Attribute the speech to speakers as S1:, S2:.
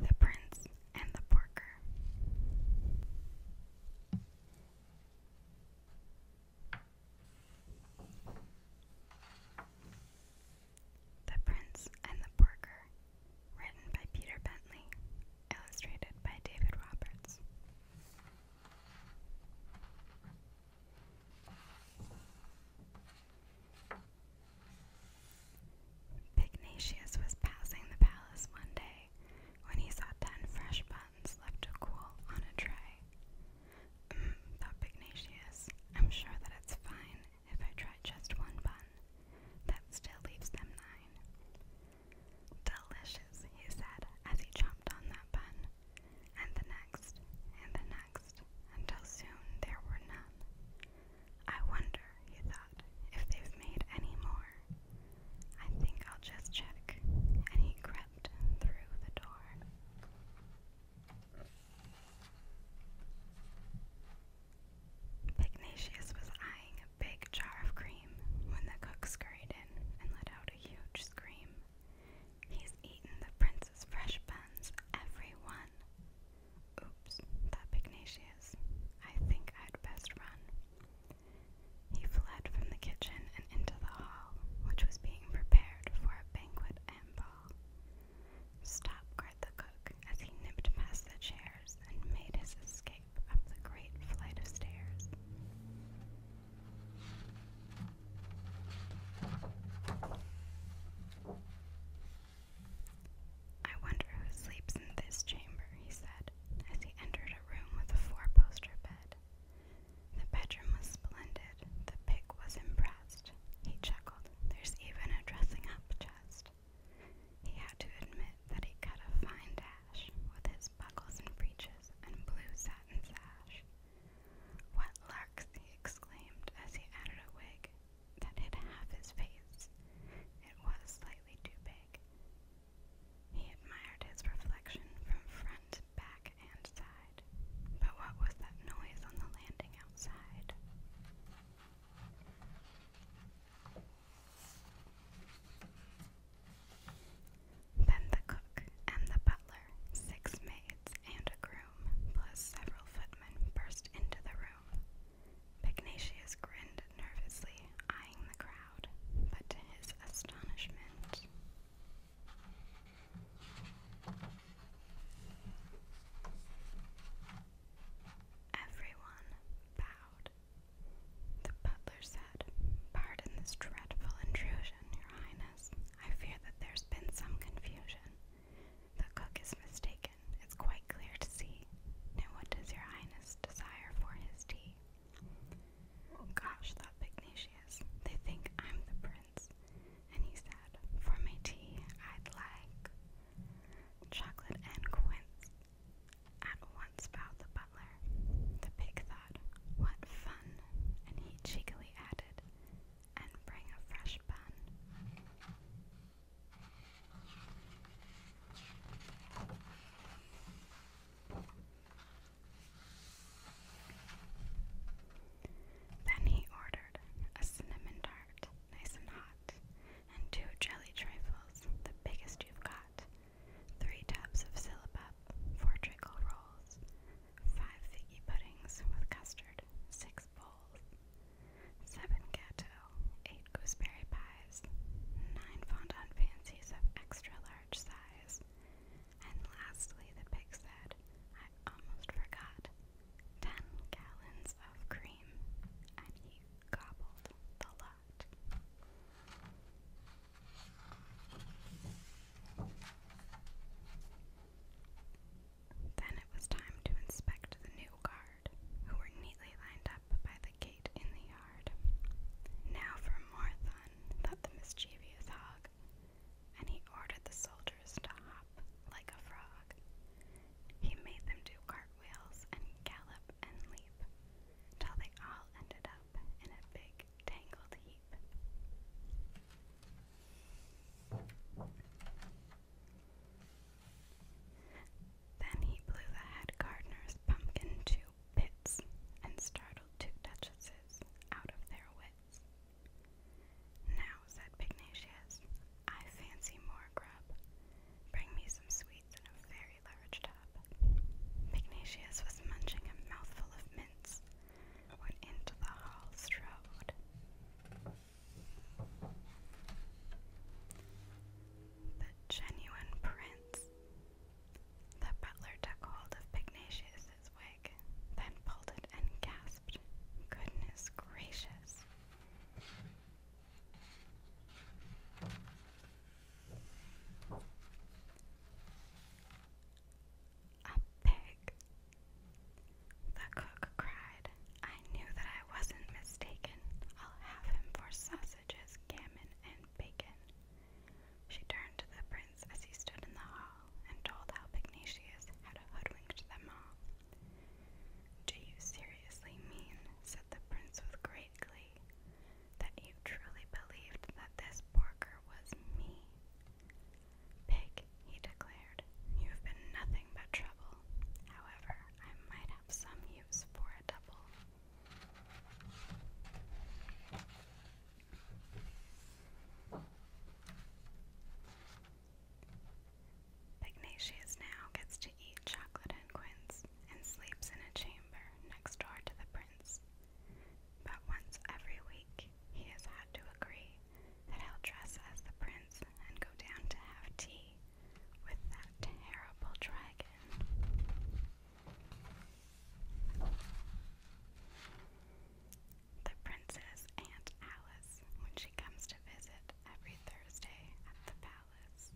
S1: The Prince and the Porker. The Prince and the Porker, written by Peter Bentley, illustrated by David Roberts. Pignatius was passing the palace one day when he saw ten fresh buns left to cool on a tray. Mm, thought Pignatius, I'm sure that it's fine if I try just one bun. That still leaves them nine. Delicious, he said as he chomped on that bun and the next, and the next, until soon there were none. I wonder, he thought, if they've made any more. I think I'll just check. And he crept through the door. Pignatius was eyeing a big jar of cream when the cook scurried in and let out a huge scream. He's eaten the prince's fresh buns, every one. Oops, that Pignatius. I think I'd best run. He fled from the kitchen and into the hall, which was being prepared for a banquet and ball. Stop, cried the cook, as he nipped past the chairs and made his escape up the great flight of stairs. I wonder who sleeps in this chamber, he said, as he entered a room with a four poster bed. The bedroom was splendid. The pig was impressed. He chuckled. There's even a dressing up chest. He had to admit that he cut a fine with his buckles and breeches and blue satin sash. What larks, he exclaimed as he added a wig that hid half his face. It was slightly too big. He admired his reflection from front, back, and side. But what was that noise on the landing outside? Then the cook and the butler, six maids, and a groom, plus several footmen, burst into the room. Pignatius grinned nervously, eyeing the crowd, but to his astonishment, everyone bowed. The butler said, Pardon this dreadful intrusion, Your Highness. I fear that there's been some confusion. The cook is mistaken. It's quite clear to see. Now, what does Your Highness desire for his tea? Oh, gosh, thought Pignatius, they think I'm the prince. And he said, For my tea, I'd like chocolate and quince. At once bowed the butler. The pig thought, What fun! And he cheekily added, And bring a fresh bun. Then he ordered a cinnamon tart, nice and hot, and two jelly trifles, the biggest you've got, three tubs of syllabub, four treacle rolls, five figgy puddings with custard, six bowls, seven gâteaux, eight gooseberry pies, nine fondant fancies of extra large size, and lastly the pig said, I almost forgot, ten gallons of cream, and he gobbled the lot. Then it was time to inspect the new guard, who were neatly lined up by the gate in the yard. Now for more fun, thought the mischievous hog, and he ordered the soldiers to hop like a frog. He made them do cartwheels and gallop and leap, till they all ended up in a big tangled heap. Then he blew the head gardener's pumpkin to bits and startled two duchesses out of their wits. Now, said Pignatius, I fancy more grub. Bring me some sweets in a very large tub. Pignatius was munching a mouthful of mince when into the hall strode. The genuine prince. The butler took hold of Pignatius's way then pulled it and gasped, Goodness gracious! A pig. The cook cried. I knew that I wasn't mistaken. I'll have him for sausages, gammon, and bacon. She turned to the prince as he stood in the hall and told how Pignatius had hoodwinked them all. Do you seriously mean, said the prince with great glee, that you truly believed that this porker was me? Pig, he declared, you have been nothing but trouble. However, I might have some use for a double. Pygnacius now gets to eat chocolate and quince and sleeps in a chamber next door to the prince. But once every week he has had to agree that he'll dress as the prince and go down to have tea with that terrible dragon. The princess and Alice when she comes to visit every Thursday at the palace.